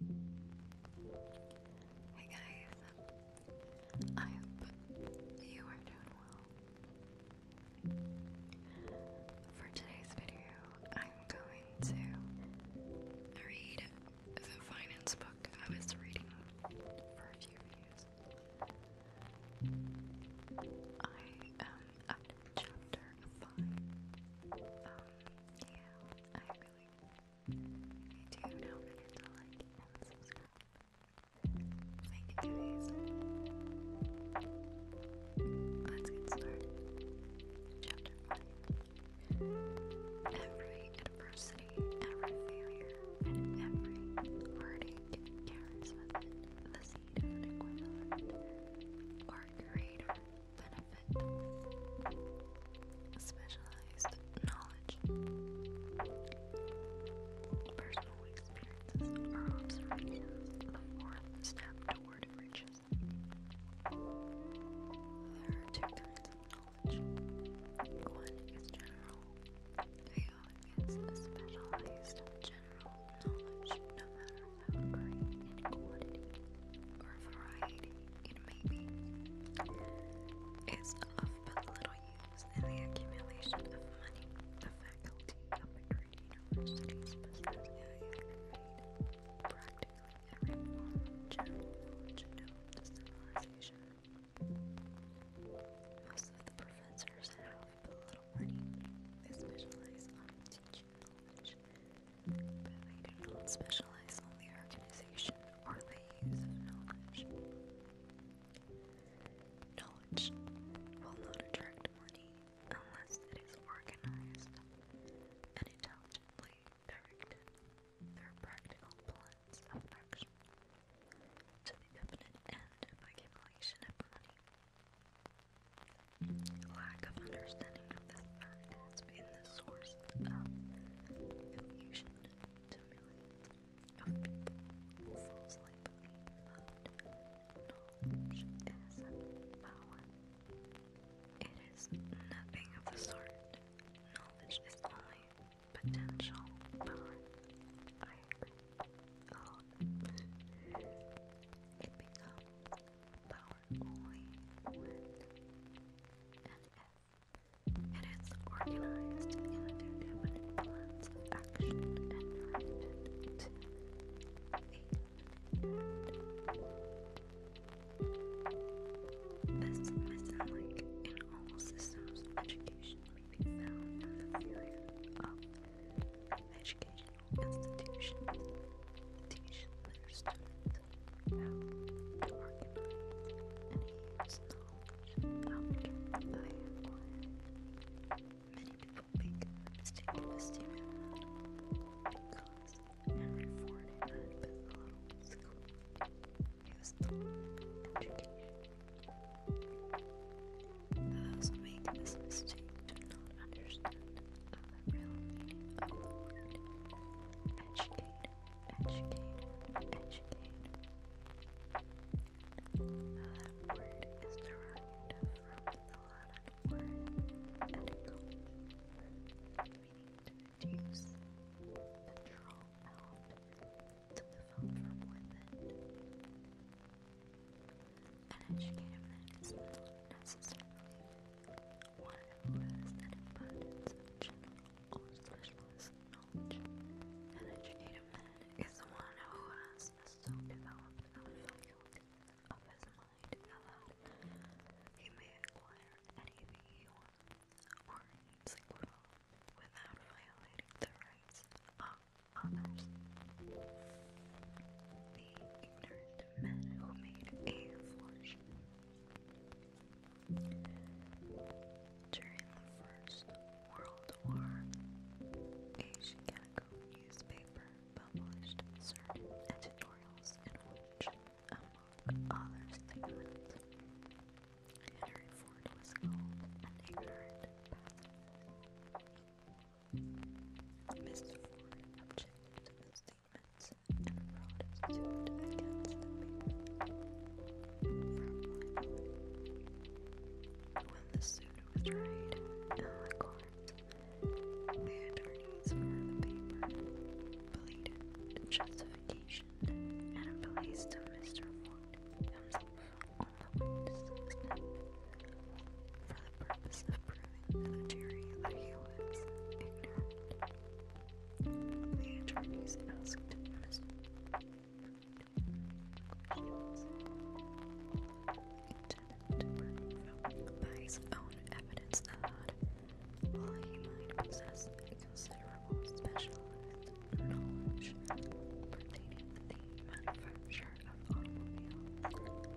Hey guys, I hope you are doing well. For today's video, I'm going to read the finance book I was reading for a few videos. I am at chapter 5. Um, yeah, I really I do now forget to like and subscribe. Thank you guys. Let's get started. Chapter 5 Every adversity, every failure, and every heartache carries with it the seed of an equivalent or greater benefit specialized knowledge, personal experiences, or observations before the step toward riches. There are two kinds of knowledge. One is general, the other is specialized general knowledge, no matter how great in quantity or variety you know, maybe is of but little use in the accumulation of money. The faculty of McGrady University's possess practically every form of general knowledge known to civilization. Most of the professors have but little money. They specialize on teaching knowledge, but they do not specialize on the organization or the use of knowledge. Knowledge will not attract money unless it is organized and intelligently directed through practical plans of action to the definite end of accumulation of money. Lack of understanding of this fact it has been the source of confusion to of people falsely knowledge is power. It is nothing of the sort. Knowledge is only potential power. I oh. it becomes power only when an it is organized into different plans of action and directed to a This may sound all systems education may be found in the theory of educational institutions implementation their Many people make the mistake because every foreign had been allowed school, use the education. Those who make this mistake do not understand the real meaning of the word educate, educate. Now that word is derived from the Latin word "educo," meaning to reduce, to draw out, from within. An educated is not necessarily or impress an abundance of general or specialist knowledge. An educated man is one who has so developed a faculty of his mind that he may acquire anything he wants or needs well without violating the rights of others. The ignorant men who made a fortune during the First World War, a Chicago newspaper published certain editorials in which, among other statements, Henry Ford was called an ignorant pacifist. Mr. Ford objected pavements and When the suit was tried in the attorneys for the paper pleaded justification and placed Mr. Ford himself on the for the purpose of proving to the that he was ignorant. The attorneys asked Mr. to prove by his own evidence that, while he might possess considerable specialized knowledge pertaining to the manufacture of automobiles,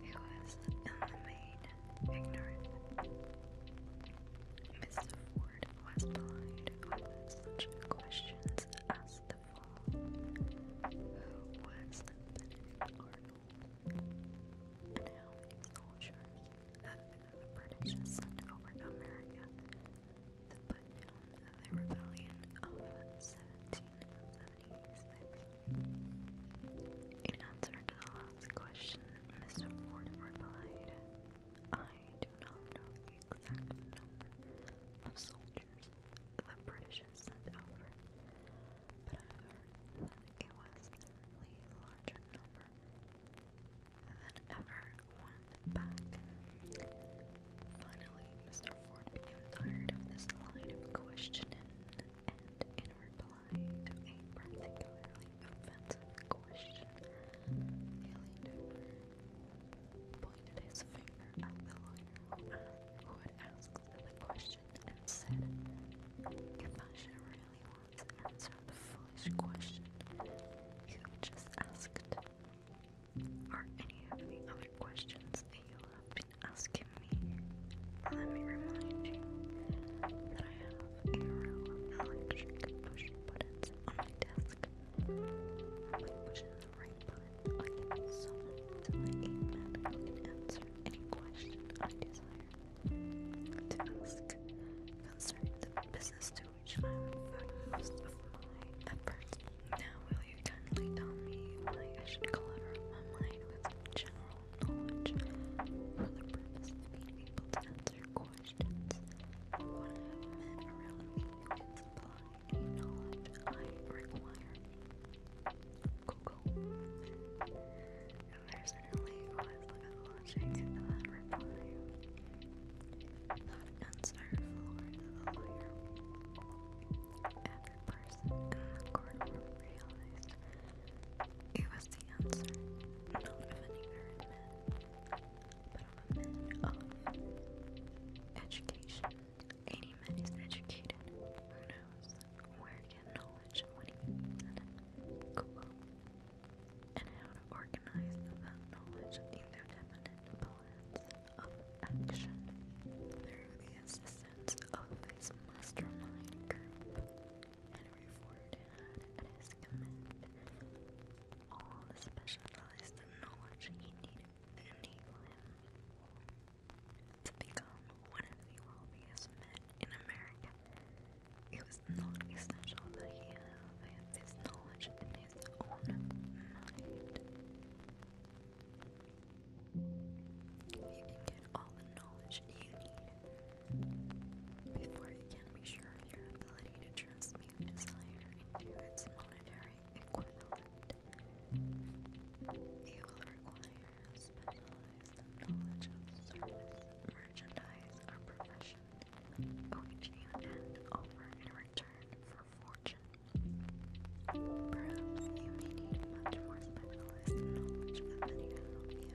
he was in the main ignorant. Mr. Ford was polite on such questions as the fall, who was Benedict Arnold, and how many soldiers the British sent over to America. The put of the rebellion In answer last question, Mr. Ford replied. I do not know the exact number of soldiers the British sent over, but I heard it was a larger number than ever went back. Finally, Mr. Ford became tired of this line of questioning, and in applied to a particularly offensive question. Haley pointed his finger at the lawyer who had asked the question and said, If Asha really wants to answer the foolish question, you just asked, Are any of the other questions that you been asking me? Let me remind you that I electric push buttons on my desk. By pushing the right button, I can use someone to my game and can answer any question I desire. To ask concerns of business to which I would devote my efforts. Now, will you kindly tell me why I should clutter my mind with general knowledge for the purpose of being able to answer questions. When I have men around me who can supply knowledge I require. Google. I personally was watching that reply. That answer the lawyer. Every person in the courtroom realized it was the answer, not of an man, but of a man of education. Any man is educated who knows where to get knowledge when he needs it, and how to organize that knowledge into definite plans of action through the assistance of his mastermind group and reformed had at his command all the specialized knowledge he needed to enable him to become one of the wealthiest men in America. It was not essential that he have this knowledge in his own mind. You can all the knowledge you need before you can be sure of your ability to transmute desire into its monetary equivalent, you will require specialized knowledge of service, merchandise, or profession, which you intend offer in return for fortune. Perhaps you may need much more specialized knowledge than you have ability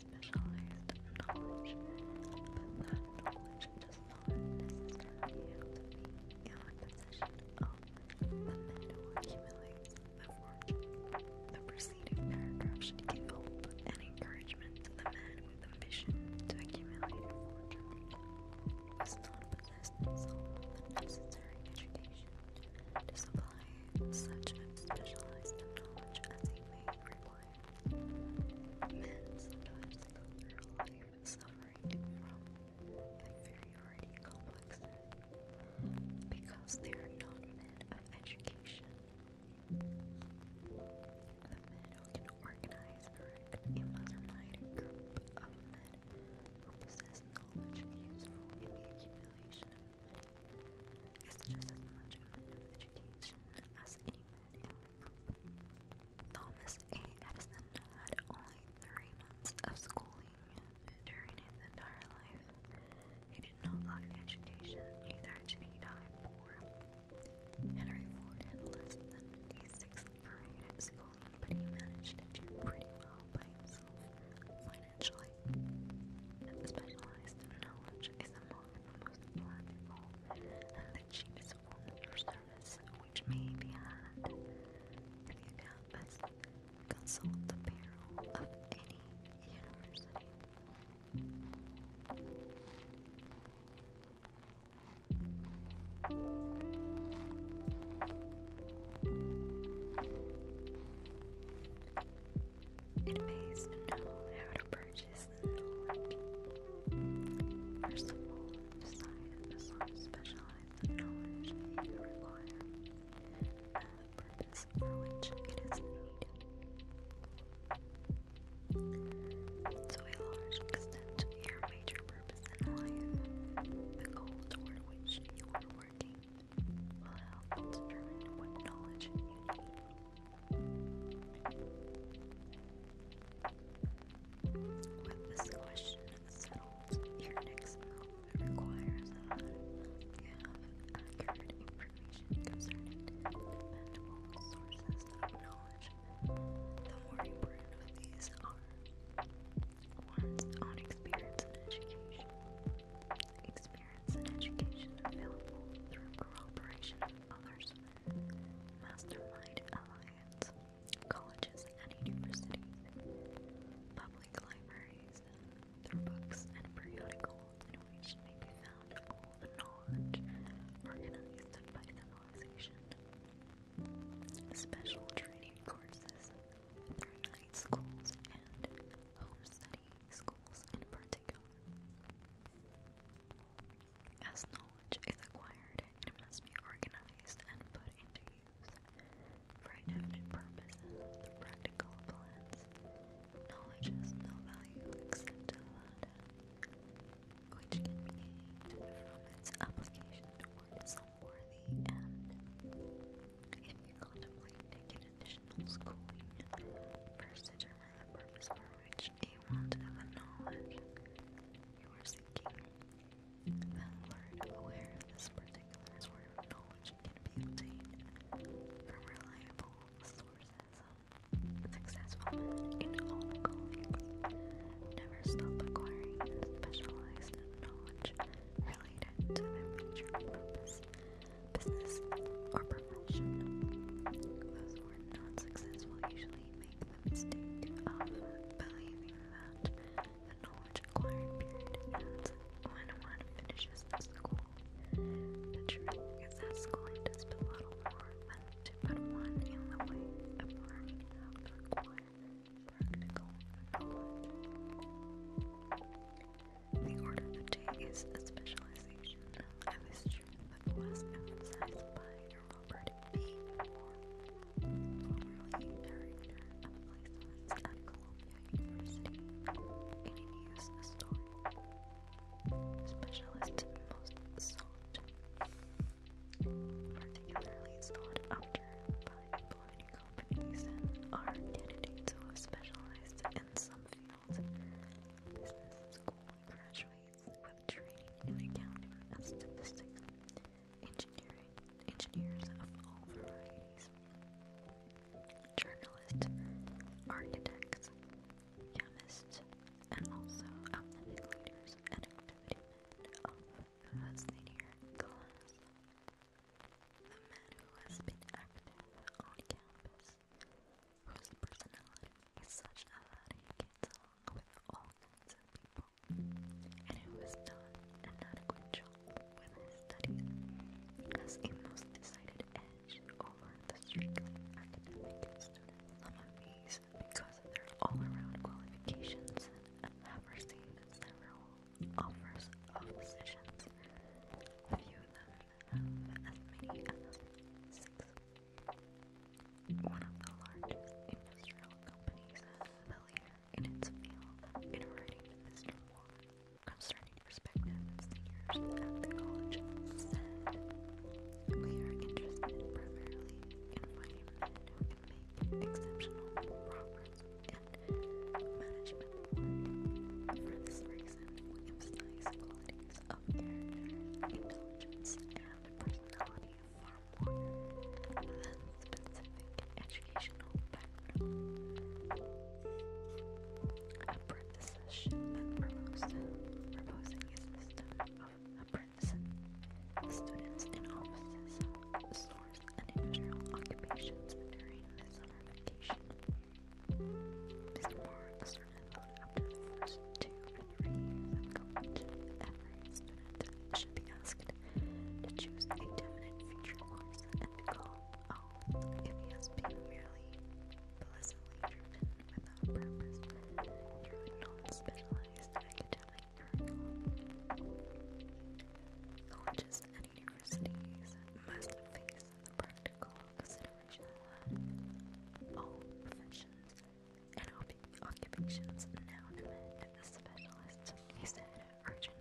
specialized knowledge, but that knowledge does not necessarily have the possession of the man who accumulates the The preceding paragraph should give hope and encouragement to the man with ambition to accumulate fortune, who has not the necessary education to supply such specialized knowledge as he may require. Men sometimes go their life suffering from inferiority complexes because they are not men of education. The men who can organize and erect a mother group of men who possess knowledge useful in the accumulation of money is just as much a man of education as any Thomas A. Edison had only three months of schooling during his entire life. He did not like education either, and he died poor. Henry Ford had less than a sixth grade schooling, but he managed to do pretty well by himself financially. Specialized knowledge is a the most valuable and the cheapest form of service, which may be had. If you doubt this, the payroll of any university. It pays know how to purchase First of all, science must specialize in knowledge you require and the purpose for which it is needed. To a large extent, your major purpose in life, the goal toward which you are working, will help determine what knowledge you need. With this question settled, your next move requires that you have accurate information concerning dependable sources of knowledge. The more important of these are one's own experience and education. Experience and education available through corroboration of others' Mastermind Alliance, colleges and universities, public libraries, through books and periodicals in may be found all the knowledge organized by civilization. Special training courses through night schools and home study schools in particular. As knowledge is acquired, it must be organized and put into use for intended purposes, practical plans. Knowledge has no value except to the which can be gained from its application toward some worthy end. If you contemplate taking additional schooling, first determine the purpose for which a want and the knowledge you are seeking. That word aware this particular sort of knowledge can be obtained from reliable sources. Successful in all callings never stop acquiring specialized knowledge related to their major purpose, business, or profession and successful usually make the mistake of believing that the knowledge acquired period when one finishes school. The truth is that schooling does belittle more than to put one in the way of learning how to acquire practical knowledge. The order of the day is a specialization concept was emphasized by Robert B. Moore, formerly director of applied science at Columbia University, and he used the story specialist particularly sought after by employing companies are candidates who have specialized in some fields. Business school graduates have trained and accounted statistics, engineering, engineers of all varieties, journalists, architects, chemists, and also athletic leaders and activity of the senior class. The man who has been active on campus, whose personality such a lot of along with all kinds of people, and it was not an adequate job with his studies, as a most decided edge over the strictly academic students. Some of these, because of their all-around qualifications and have received several offers of positions, few of them have as One of the large industrial companies the leader in its field in writing Mr. Moore concerning perspectives the at the college said, We are interested primarily in finding men who exceptional progress in management For this reason, we emphasize qualities of intelligence and personality far more than specific educational Apprenticeship and proposing a system of apprentices, students in offices, stores, and industrial occupations during the summer vacation. Mr. Barnes started on the first two and three years Every student should be asked to choose a definite future course and become all if he has been merely pleasantly without purpose through a specialized academic Colleges and universities must face the practical as an original word. All professions and occupations now demand specialists, he said, urging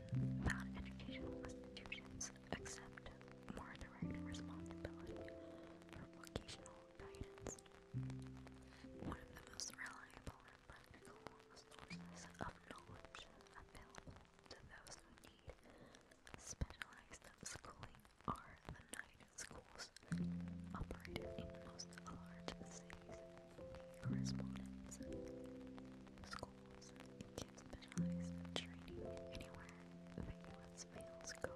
that educational institutions accept more direct responsibility for vocational guidance. One of the most reliable and practical sources of knowledge available to those who need specialized schooling are the night schools operated in most large cities. The correspondence schools can specialize in training anywhere the U.S. males go.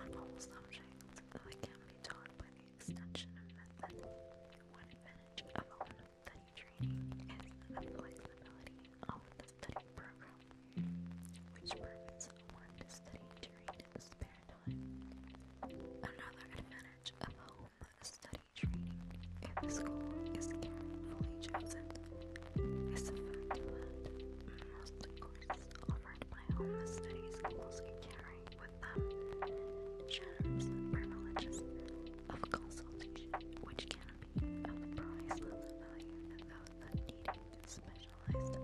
On all subjects, they can be taught by the extension method. One advantage of all study training is the flexibility of the study program which permits one to study during the spare time. Another advantage of home study training if the school is carefully chosen is the fact that most courses offered by home study schools carry with them generous privileges of consultation which can be of priceless without needing special generalized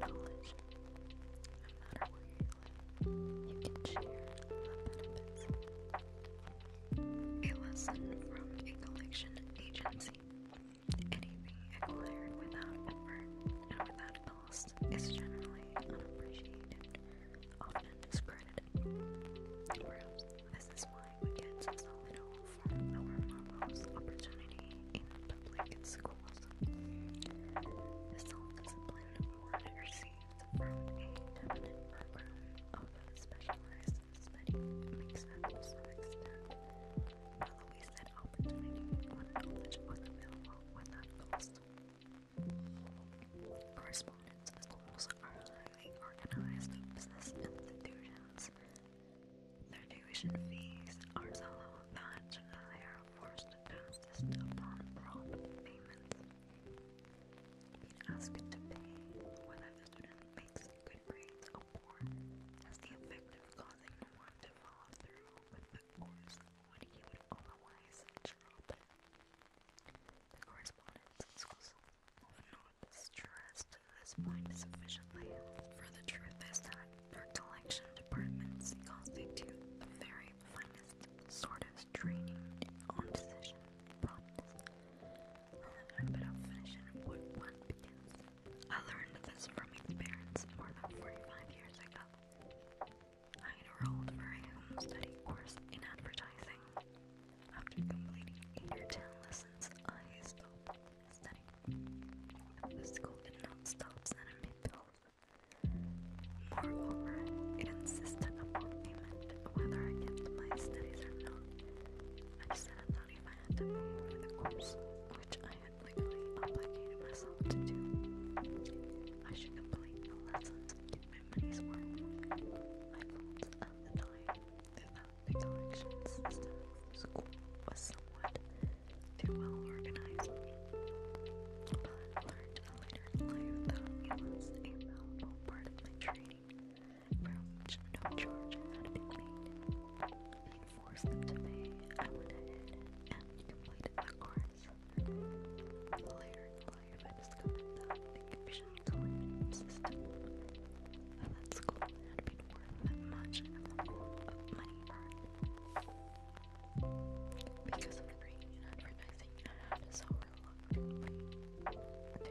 knowledge. No matter A lesson from a collection agency. Anything acquired without effort and without cost is generally unappreciated, often discredited. Perhaps this is why we get so little from lower levels opportunity in public and schools. Self-discipline award received from a eminent of specialized study makes up to some extent the least that opportunity when knowledge was without cost. Correspondence schools are highly organized business institutions their tuition fees are so low that they are forced to insist upon prompt payments. ask it to pay when the student makes good grades or poor as the effect of causing one to fall through with the course when he would otherwise drop. The correspondence schools often not stressed this point sufficiently, for the truth is that our collection departments constitute the very finest sort of training on decision prompts, and the habit what one begins. I learned this from experience more than 45 years ago. I enrolled for a home study course in advertising. After completing eight or ten lessons, I stopped study. The school did not stop sending me bills. Moreover, it insisted upon payment, whether I kept my studies or not. I said I thought if I to pay for the course, which I had legally obligated myself to do, I should complete the lessons and get my money's I felt at the time that the collection system was somewhat too well organized, but learned later in life that it was a valuable part of my training, for which no charge had been made. Being forced to pay, I went ahead and completed the course. Later in life, I discovered the collection system that school much in the form Because of greed in I had to sell reluctantly. Take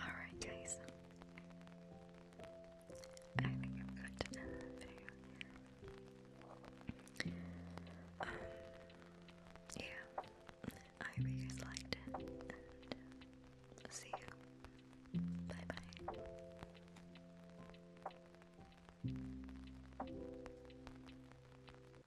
Alright, guys. I think I'm going to end the video Um, yeah. I hope you guys liked it. see you. Bye bye.